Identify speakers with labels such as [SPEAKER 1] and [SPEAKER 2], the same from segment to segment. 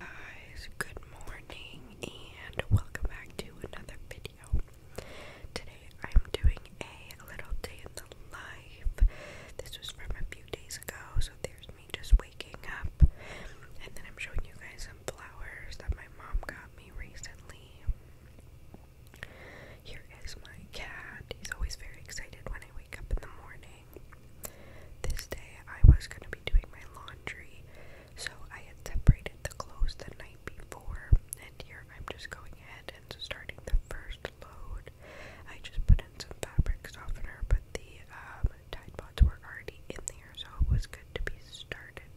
[SPEAKER 1] guys, good morning and welcome back to another video. Today I'm doing a little day in the life. This was from a few days ago, so there's me just waking up. And then I'm showing you guys some flowers that my mom got me recently. Here is my cat. He's always very excited when I wake up in the morning. This day I was going to be doing my laundry, so I had separated the clothes the night before, and here I'm just going ahead and starting the first load. I just put in some fabric softener, but the um, Tide Pods were already in there, so it was good to be started.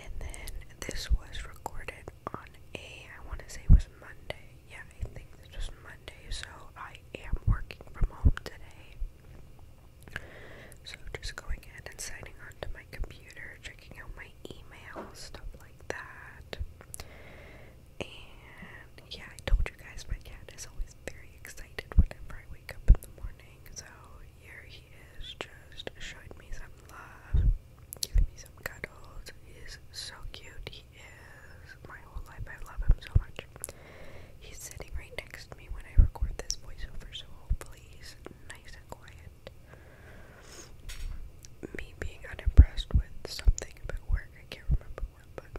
[SPEAKER 1] And then this was recorded on a, I want to say it was Monday yeah, I think this was Monday, so I am working from home today. So just going in and signing on to my computer, checking out my email, stuff like that. And yeah, I told you guys my cat is always very excited whenever I wake up in the morning. So here he is, just showing me some love, giving me some cuddles. He is so cute. He is my whole life. I love him so much. He's sitting right next to me when I record this voiceover, so hopefully he's nice and quiet. Me being unimpressed with something about work, I can't remember what, but.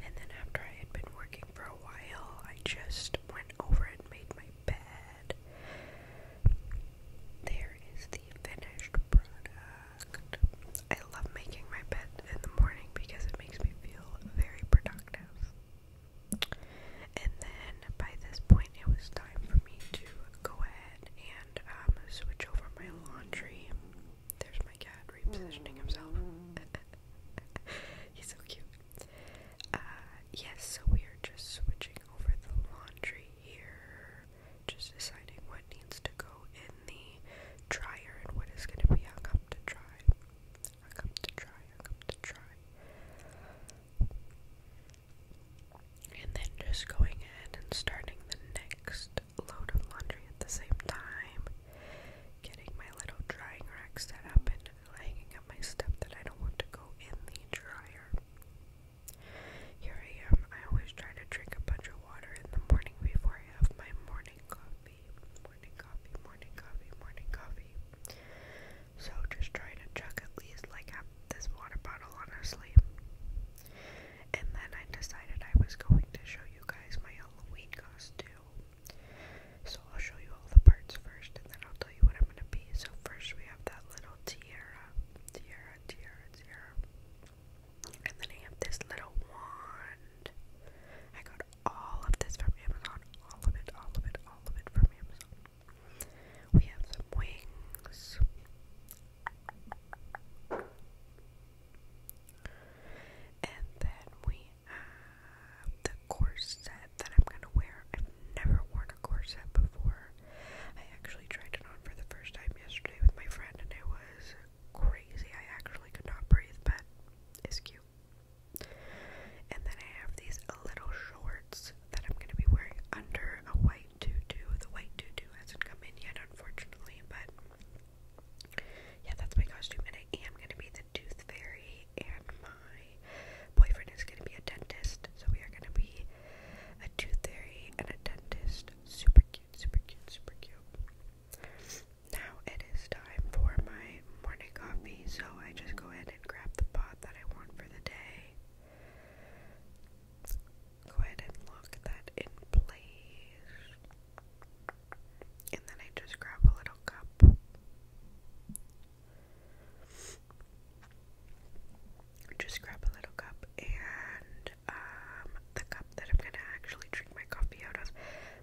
[SPEAKER 1] And then after I had been working for a while, I just went over and made my bed. There is the finished product. I love making my bed in the morning because it makes me feel very productive. And then by this point, it was time for me to go ahead and um, switch over my laundry. There's my cat repositioning himself. He's so cute. Uh, yes, so we are just switching over the laundry here just deciding what needs to go in the dryer and what is going to be hung up to dry. Hung up to dry, hung up to dry. And then just going ahead and starting the next load of laundry at the same time. Getting my little drying rack set up and hanging up my stuff that I don't want to go in the dryer. Here I am. I always try to drink a bunch of water in the morning before I have my morning coffee. Morning coffee, morning coffee, morning coffee. So just trying to chug at least like half this water bottle, on her sleeve. And then I decided I was going to show you guys my Halloween costume. So I'll show you all the parts first and then I'll tell you what I'm gonna be. So first we have that little tiara. Tiara, tiara, and then I have this little wand. I got all of this from Amazon. All of it, all of it, all of it from Amazon. We have some wings. And then we have the corset that I'm gonna wear. I've never worn a corset before. I actually tried it on for the first time yesterday with my friend, and it was crazy. I actually could not breathe, but it's cute. And then I have these little shorts that I'm going to be wearing under a white tutu. The white tutu hasn't come in yet, unfortunately, but. Yeah, that's my costume, and I am going to be the tooth fairy, and my boyfriend is going to be a dentist, so we are going to be a tooth fairy, and a dentist. Super cute, super cute, super cute. Now it is time for my morning coffee, so I just go ahead and grab the pot that I want for the day. Go ahead and lock that in place. And then I just grab a little cup just grab a little cup and um the cup that I'm gonna actually drink my coffee out of.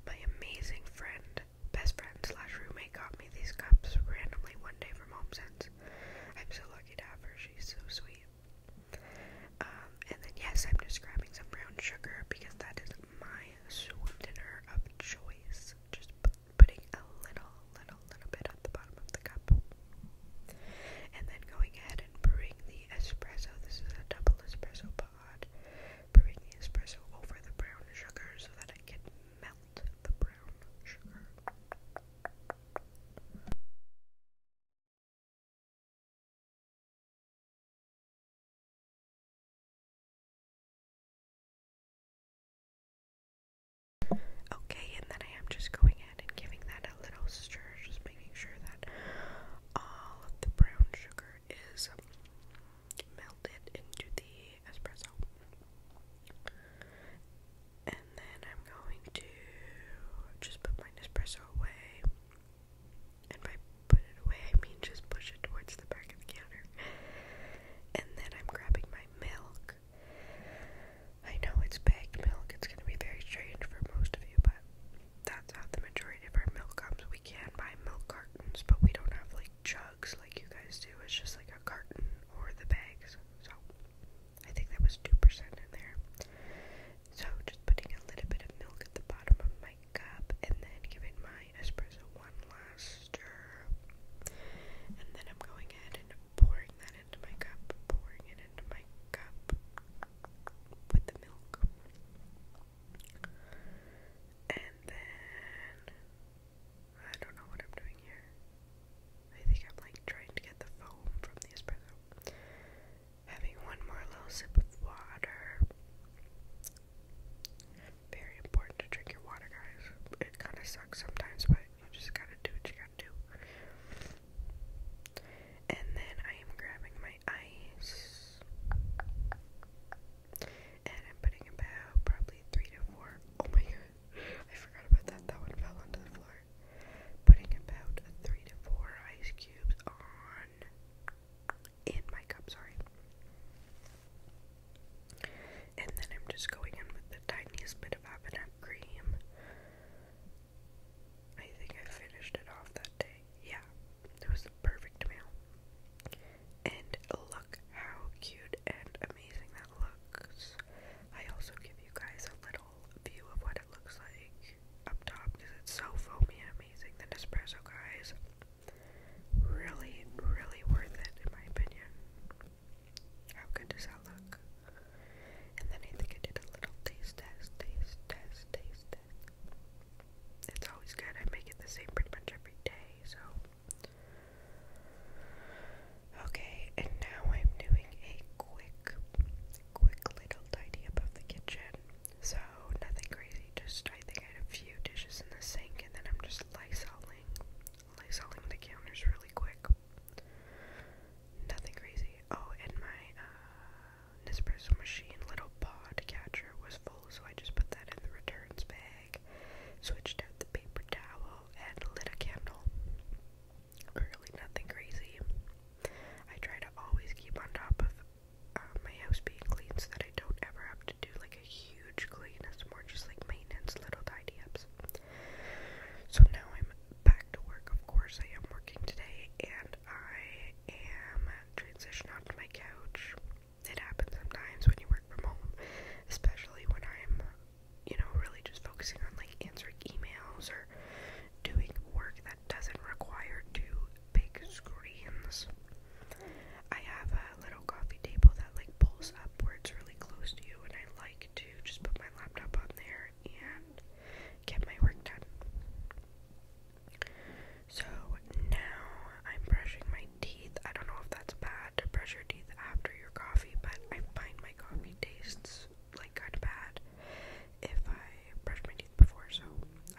[SPEAKER 1] My amazing friend, best friend slash roommate got me these cups randomly one day from HomeSense. I'm so lucky to have her, she's so sweet. Um, and then yes, I'm just grabbing some brown sugar because that is my sweetener of choice. Just putting a little, little, little bit at the bottom of the cup. And then going ahead and brewing the espresso. This is a double espresso pod. Brewing the espresso over the brown sugar so that it can melt the brown sugar. Okay, and then I am just going ahead and giving that a little stir, just making sure that all of the brown sugar is melted into the espresso. And then I'm going to just put my Nespresso away. And by put it away, I mean just push it towards the back of the counter. And then I'm grabbing my milk I know it's bagged milk, it's going to be very strange for most of you, but that's how the majority of our milk comes. We can buy milk cartons, but we don't have like jugs like you guys do. It's just like a carton or the bags. So I think that was 2% in there. So just putting a little bit of milk at the bottom of my cup and then giving my espresso one last stir. And then I'm going ahead and pouring that into my cup, pouring it into my cup with the milk. And then I don't know what I'm doing here. I think I'm like trying to get the foam from the espresso. Having one more little sip of water. Very important to drink your water, guys. It kind of sucks sometimes, but you just gotta do what you gotta and then I am grabbing my ice and I'm putting about probably three to four. Oh my god, I forgot about that. That one fell onto the floor. Putting about three to four ice cubes on in my cup, sorry and then I'm just going in with the tiniest bit of Avenap cream. I think I finished it off that day. Yeah, it was the perfect meal. And look how cute and amazing that looks. I also give you guys a little view of what it looks like up top because it's so foamy and amazing. The Nespresso guys. Really, really worth it in my opinion. How good does that look? And then I think I did a little taste test, taste test, taste test. It's always good. I make it the same pretty much every day, so. Okay, and now I'm doing a quick, quick little tidy up of the kitchen. So, nothing crazy, just I think I had a few dishes in the sink, and then I'm just lysoling like selling the counters really quick. Nothing crazy. Oh, and my uh, Nespresso machine little pod catcher was full, so I just put that in the returns bag, switched out the paper towel, and lit a candle. Really, nothing crazy. I try to always keep on top of uh, my house being clean so that I don't ever have to do like a huge huge clean, it's more just like maintenance, little tidy ups. So now I'm back to work, of course. I am working today and I am transitioned onto my couch. It happens sometimes when you work from home, especially when I'm, you know, really just focusing on like answering emails or doing work that doesn't require two big screens. I have a a little coffee table that like pulls upwards really close to you, and I like to just put my laptop on there and get my work done. So now I'm brushing my teeth. I don't know if that's bad to brush your teeth after your coffee, but I find my coffee tastes like kind of bad if I brush my teeth before, so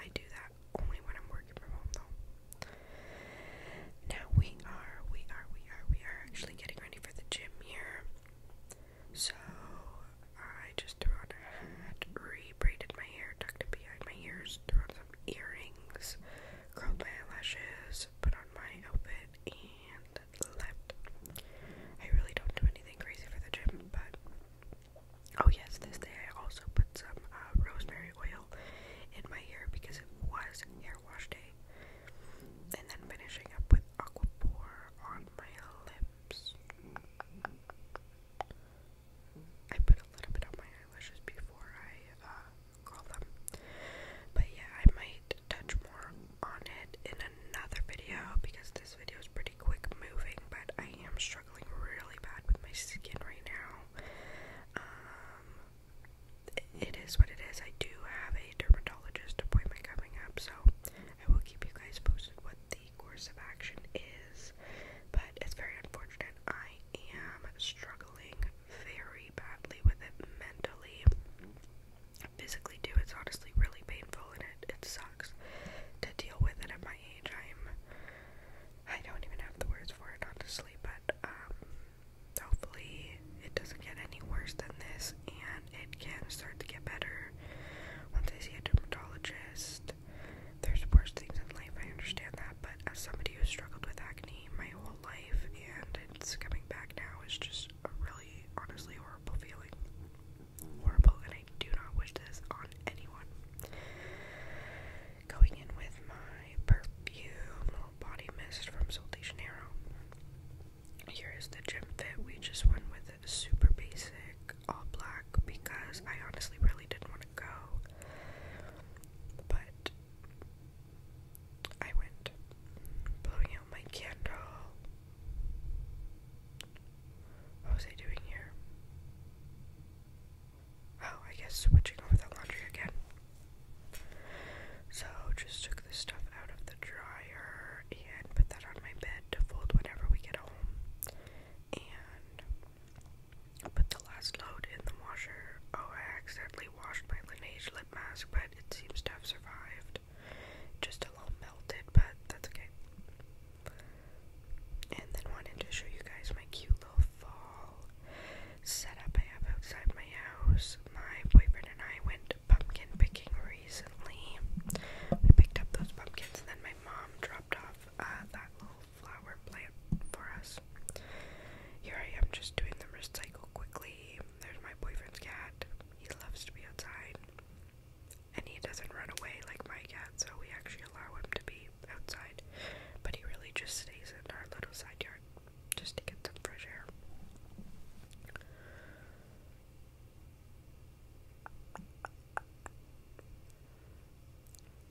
[SPEAKER 1] I do that only when I'm working from home though. Now we are, we are, we are, we are actually getting ready for the gym here. So I just threw on a hat, rebraided my hair, tucked it behind my ears, threw on some earrings, curled my eyelashes, put on my outfit, and left. I really don't do anything crazy for the gym, but oh yes, this day I also put some uh, rosemary oil in my hair because it was hair wash day and then finishing up with aquaphor on my lips. I put a little bit on my eyelashes before I uh, curl them, but yeah, I might touch more on it in another video because this video is pretty quick moving. But I am struggling really bad with my skin right now. Um, it is what it is. I do have a dermatologist appointment coming up, so I will keep you guys posted what the course of action is. But it's very unfortunate. I am struggling very badly with it mentally. Physically too, it's honestly really painful and it, it sucks to deal with it at my age. I'm I don't even have the words for it honestly, but um hopefully it doesn't get any worse than this and it can start to get better once I see a dermatologist. There's worse things in life, I understand that, but as somebody who struggled with acne my whole life and it's coming back now is just a really, honestly horrible feeling. Horrible, and I do not wish this on anyone. Going in with my perfume, body mist from Sol de Janeiro. Here is the gym fit. We just went with it super basic, all black, because I honestly really didn't want to go. But I went blowing out my candle. What was I doing here? Oh, I guess switching over the laundry again. So just took this stuff out of the dryer and put that on my bed to fold whenever we get home. And put the last load in the washer. Oh, I accidentally washed my Linage lip mask, but it seems to have survived. Just a little melted, but that's okay. And then wanted to show you guys my cute little fall setup I have outside my house. My boyfriend and I went pumpkin picking recently. We picked up those pumpkins, and then my mom dropped off uh, that little flower plant for us. Here I am just doing the recycle quickly. There's my boyfriend's cat. He loves to be outside. And he doesn't run away like my cat, so we actually allow him to be outside. But he really just stays in our little side yard just to get some fresh air.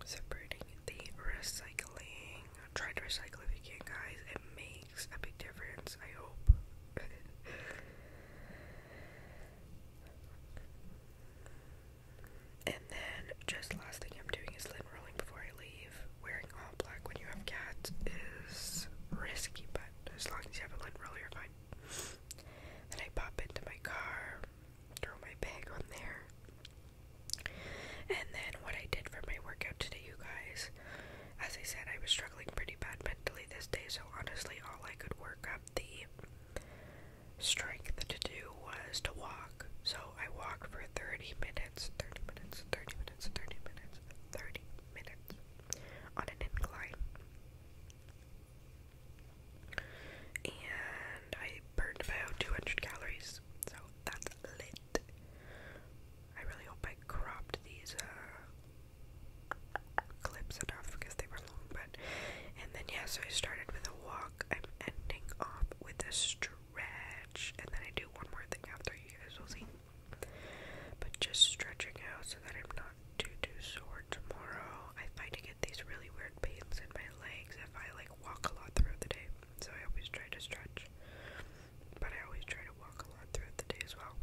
[SPEAKER 1] Separating the recycling. Try to recycle if you can, guys. It makes a big difference, I hope. then, just last thing I'm doing is lint rolling before I leave. Wearing all black when you have cats is risky, but as long as you have a lint roller, you're fine. Then I pop into my car, throw my bag on there. And then, what I did for my workout today, you guys, as I said, I was struggling pretty bad mentally this day, so honestly, all I could work up the strength to do was to walk. So, I walk for 30 minutes, 30 minutes, 30 minutes, 30 minutes, 30 minutes on an incline. And I burned about 200 calories, so that's lit. I really hope I cropped these uh, clips enough because they were long. But and then yeah, so I started with a walk. I'm ending off with a stroll stretch, and then I do one more thing after you guys will see. But just stretching out so that I'm not too too sore tomorrow. I find I get these really weird pains in my legs if I like walk a lot throughout the day. So I always try to stretch. But I always try to walk a lot throughout the day as well.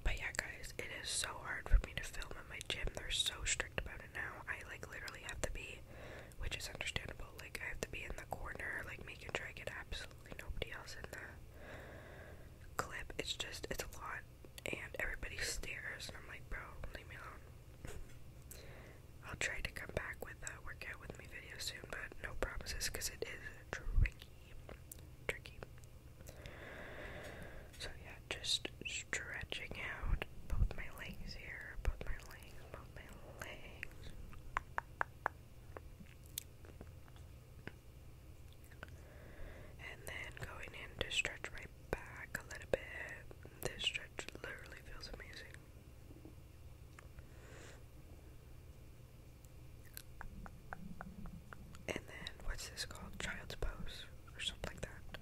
[SPEAKER 1] But yeah guys, it is so hard for me to film at my gym. They're so strict about it now. I like literally have to be which is understandable. Like, I have to be in the corner, like, making sure I get absolutely nobody else in the clip. It's just, it's a lot, and everybody stares, and I'm like, bro, leave me alone. I'll try to come back with a workout with me video soon, but no promises because it is tricky. Tricky. So, yeah, just stretching out both my legs here, both my legs, both my legs. And then going in to stretch my back a little bit. This stretch literally feels amazing. And then, what's this called? Child's pose or something like that.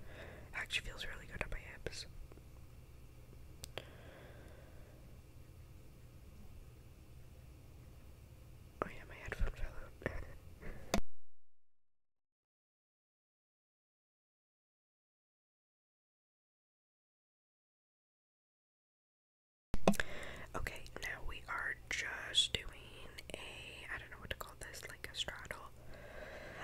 [SPEAKER 1] Actually feels really good on my hips. Oh yeah, my headphone fell out. Okay, now we are just doing a I don't know what to call this, like a straddle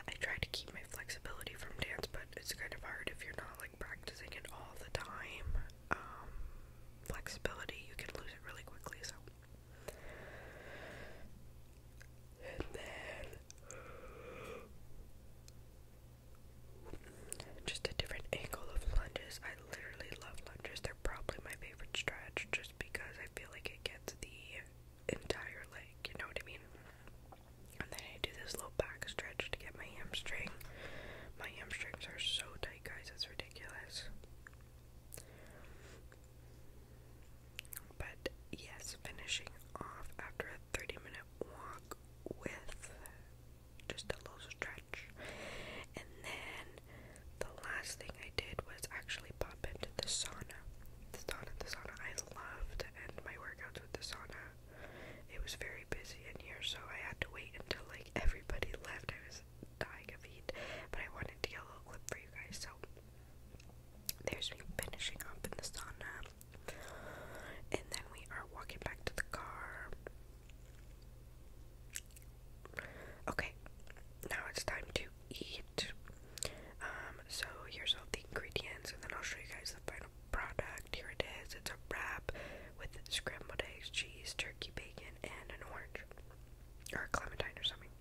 [SPEAKER 1] I try to keep my flexibility from dance, but it's kind of hard if you're not like practicing it all the time. Um, flexibility, you can lose it really quickly, so. And then just a different angle of lunges. I literally love lunges. They're probably my favorite stretch just because I feel like it gets the entire leg, you know what I mean? And then I do this little back stretch to get my hamstring. My hamstrings are so tight, guys, it's ridiculous. But yes, finishing off after a 30 minute walk with just a little stretch. And then the last thing I did was actually up into the sauna. The sauna, the sauna I love to end my workouts with the sauna. It was very busy in here, so I had to wait until like everybody left. I was dying of heat, but I wanted to get a little clip for you guys. So there's me finishing up in the sauna, and then we are walking back to the car. Okay, now it's time to eat. Um, so here's all the ingredients, and then I'll show you guys the final product. Here it is. It's a wrap with scrambled eggs, cheese, turkey, bacon, and an orange, or a clementine, or something.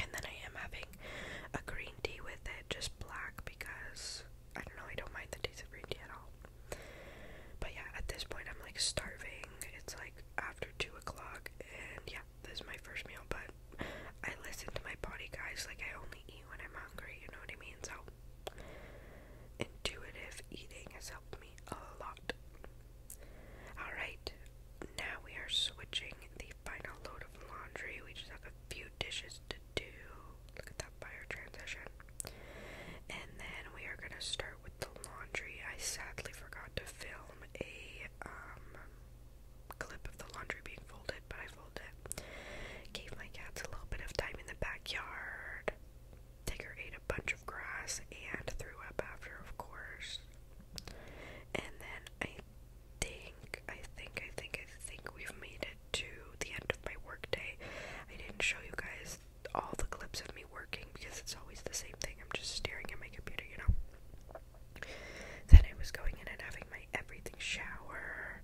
[SPEAKER 1] And then I am having a green tea with it, just black, because I don't know, I don't mind the taste of green tea at all. But yeah, at this point, I'm like starving. It's like after two o'clock, and yeah, this is my first meal, but I listen to my body, guys. Like, I only eat when I'm hungry, you know what I mean? So, intuitive eating has helped me a lot. Alright, now we are switching the final load of laundry. We just have a few dishes to do. Look at that fire transition. And then we are going to start with the laundry. I sadly forgot to film a, um, clip of the laundry being folded, but I folded Gave my cats a little bit of time in the backyard. Tigger ate a bunch of grass and threw up after, of course. And then I think, I think, I think, I think we've made it to the end of my workday. I didn't show you guys all the clips of me working because it's always the same thing. I'm just staring at my computer, you know. Then I was going in and having my everything shower.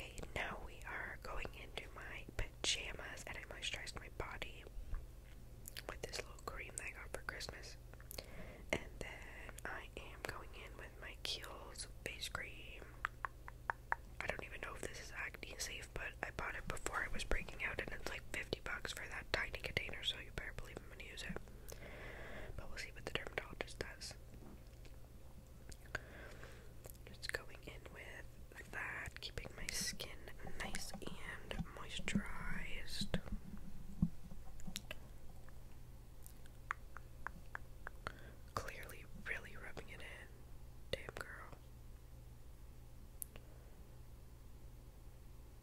[SPEAKER 1] Okay, now we are going into my pajamas and I moisturized my body with this little cream that I got for Christmas. And then I am going in with my Kiehl's face cream. I don't even know if this is acne safe, but I bought it before I was breaking out, and it's like 50 bucks for that tiny container, so you better believe I'm gonna use it. But we'll see what the dermatologist does. Just going in with that, keeping my skin nice and moisturized. Clearly, really rubbing it in. Damn girl.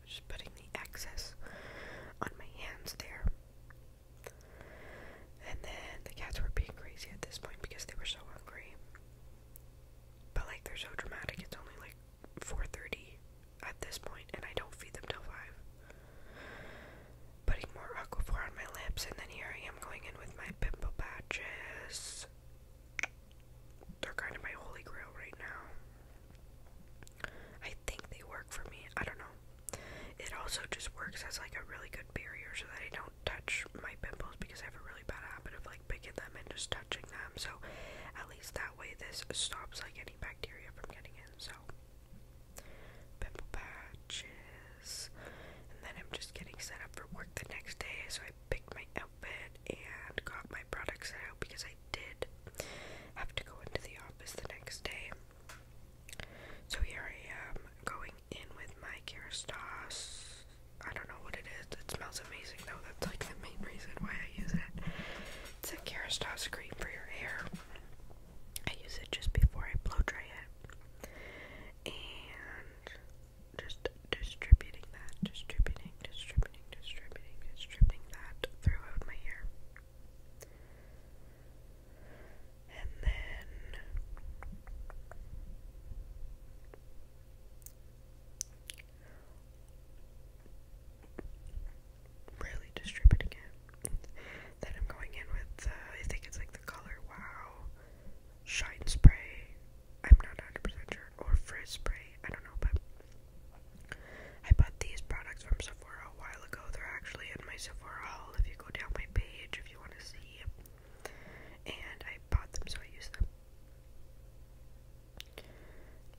[SPEAKER 1] Just putting the excess on my hands there. And then the cats were being crazy at this point because they were so hungry. But like they're so dramatic, it's only like 4:30 at this point and I don't feed them till 5 putting more Aquaphor on my lips, and then here I am going in with my pimple patches. They're kind of my holy grail right now. I think they work for me. I don't know. It also just works as like a really good barrier so that I don't touch my pimples because I have a really bad habit of like picking them and just touching them. So at least that way this stops like any bacteria from getting in. So pimple patches, and then I'm just getting set up for work the next day. So I picked my outfit and got my products out because I did have to go into the office the next day. So here I am going in with my Kerastase. I don't know what it is. It smells amazing though. That's like the main reason why I use it. It's a Kerastase cream for your hair. I use it just before I blow dry it. And just distributing that, distributing, distributing, distributing, distributing that throughout my hair. And then really distributing it that I'm going in with, uh, I think it's like the color Wow, Shine Spray, I'm not 100 sure, or Frizz Spray, I don't know, but I bought these products from Sephora a while ago. They're actually in my Sephora haul if you go down my page if you want to see. And I bought them, so I use them.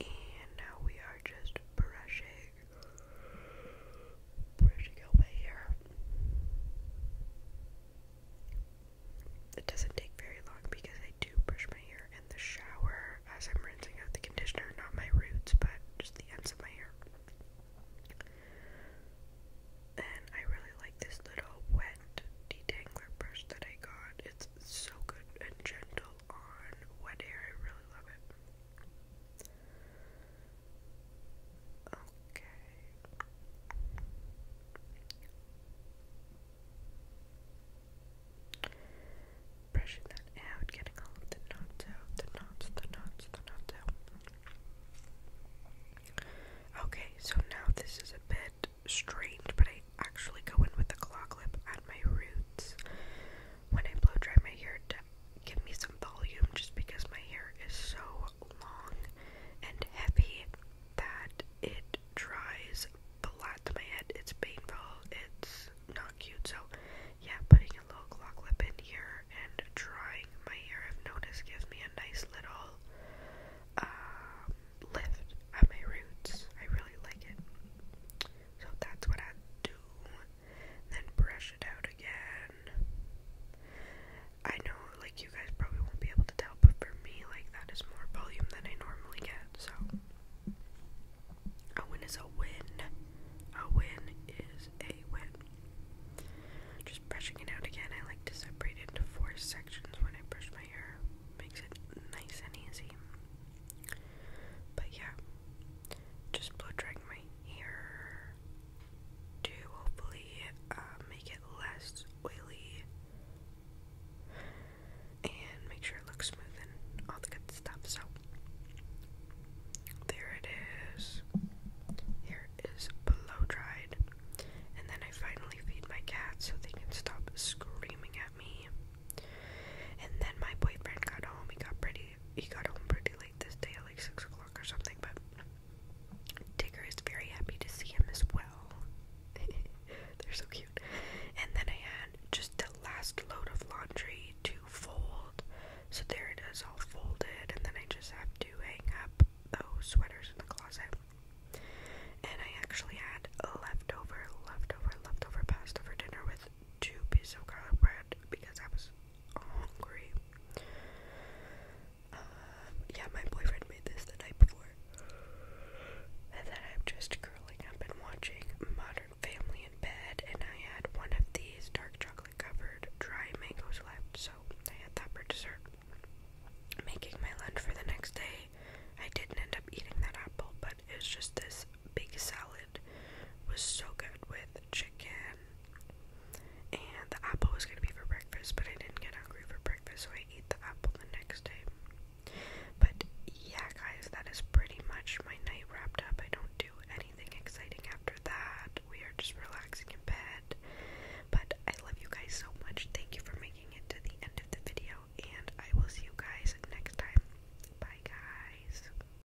[SPEAKER 1] And now we are just brushing where did it go by here? It doesn't take very long because I do brush my hair in the shower as I'm rinsing out the conditioner, not my roots, but just the ends of my hair. And I really like this little wet detangler brush that I got. It's so good and gentle on wet hair. I really love it. Okay. Brushing that out, getting all the knots out, the knots, the knots, the knots out. Okay, so now this is a bit strange, but I actually go in with a claw clip at my roots. When I blow dry my hair give me some volume just because my hair is so long and heavy that it dries flat to my head. It's painful, it's not cute. So, yeah, putting a little claw clip in here and drying my hair, I've noticed, gives me a nice little um, lift at my roots. I really like it. So, that's what I do then brush it out again. I know, like, you guys probably won't be able to tell, but for me, like, that is more volume than I normally get, so. A win is a win. A win is a win. Just brushing it out again, I like to separate it into four sections when I brush my hair. Makes it nice and easy. But yeah, just blow drying my hair to hopefully uh, make it less oily and make sure it looks smooth and all the good stuff. So, there it is. Here is it is blow dried. And then I finally feed my cat so they can stop screaming at me. And then my boyfriend got home. He got pretty he got home pretty late this day like six o'clock or something, but Tigger is very happy to see him as well. They're so cute. And then I had just the last load of laundry to fold. So there it is, all folded, and then I just have to hang up those sweaters in the closet. And I actually had leftover, leftover, leftover pasta for dinner with two pieces of garlic bread because I was hungry. Um, yeah, my boyfriend made this the night before. And then I'm just curling up and watching Modern Family in bed, and I had one of these dark chocolate covered dry mangoes left, so I had that for dessert. Making my lunch for the next day, I didn't end up eating that apple, but it was just this big salad. was so good with chicken, and the apple was gonna be for breakfast, but I didn't get hungry for breakfast, so I ate the apple the next day. But yeah, guys, that is pretty much my night wrapped up. I don't do anything exciting after that. We are just relaxing in bed. But I love you guys so much. Thank you for making it to the end of the video, and I will see you guys next time. Bye, guys.